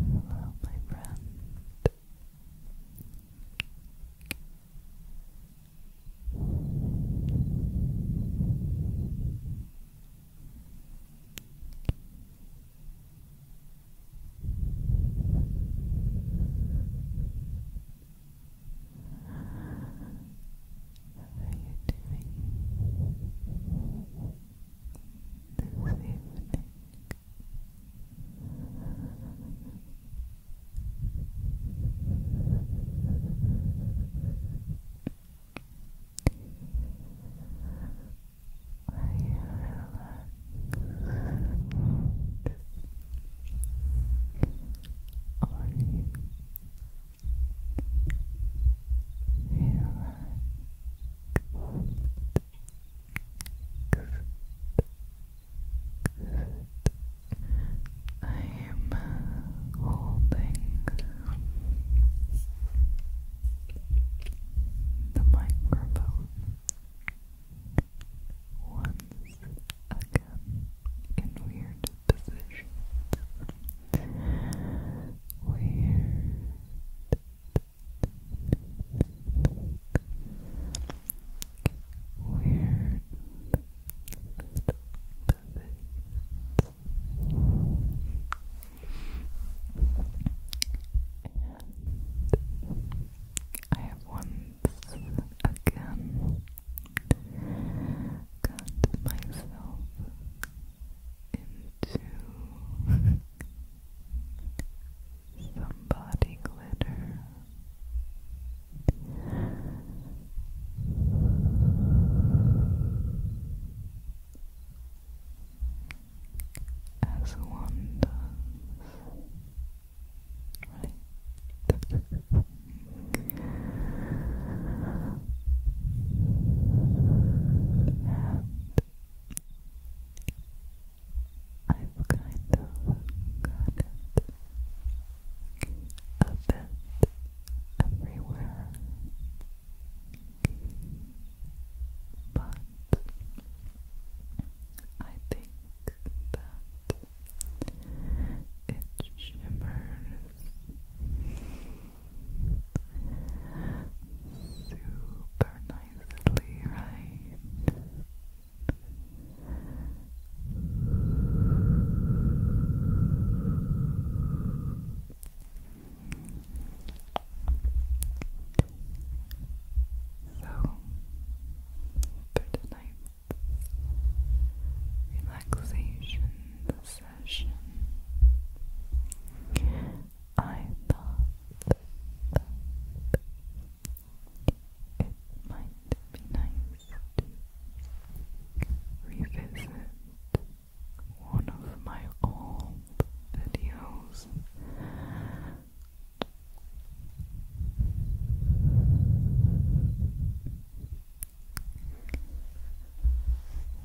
Hello, my friend. Hello, how are you doing this evening? Are you relaxed? Are you I am holding the microphone once again in weird positions. Weird. Weird and I have once again got myself into some glitter. As one does, I've kind of got it a bit everywhere, but I think that it shimmers super nicely, right? So, for tonight, relaxation session. I thought it might be nice to revisit one of my old videos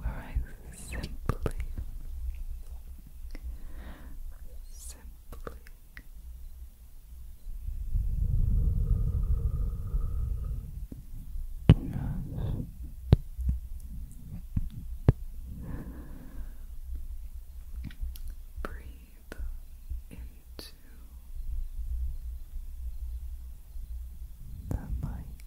where I simply, simply just Breathe in to the mic.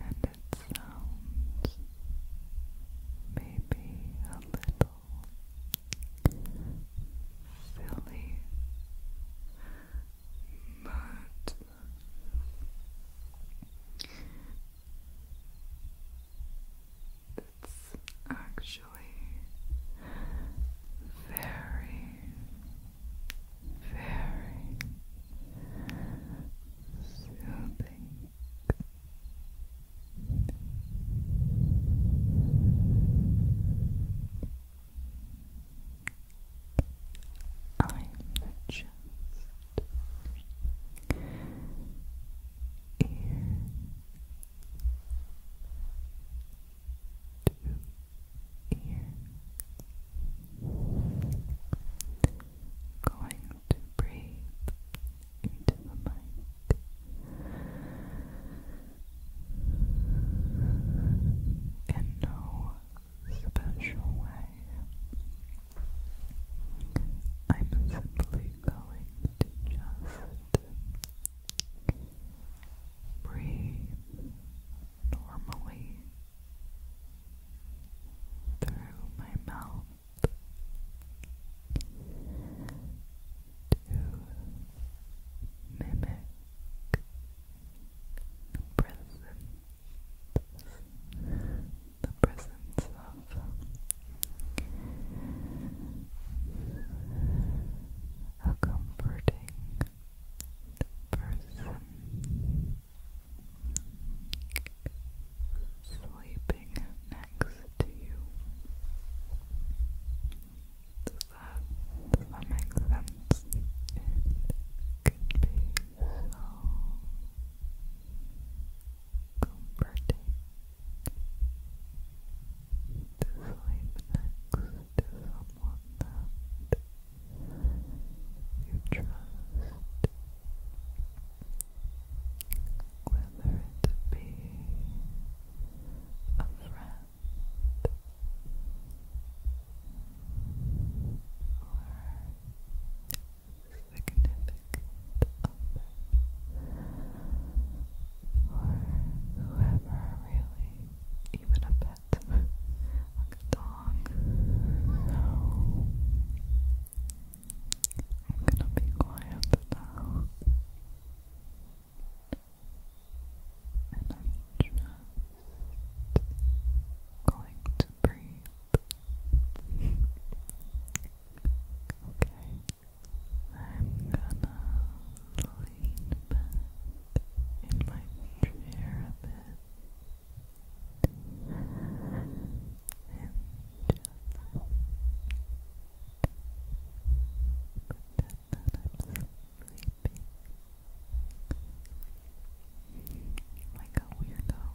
And it sounds maybe a little silly, but it's actually very, very soothing. i just to ear. Going to breathe into the mic. In no special way. I'm simply going to just breathe normally through my mouth to mimic the the presence of a comforting person sleeping next to you. Does that, make sense? It could be so comforting to sleep next to someone you trust, whether it be a friend or significant other or whoever really, even a pet, like a dog. So I'm gonna be quiet now. And I'm just going to breathe. okay. I'm gonna lean back in my chair a bit and just pretend that I'm sleeping like a weirdo.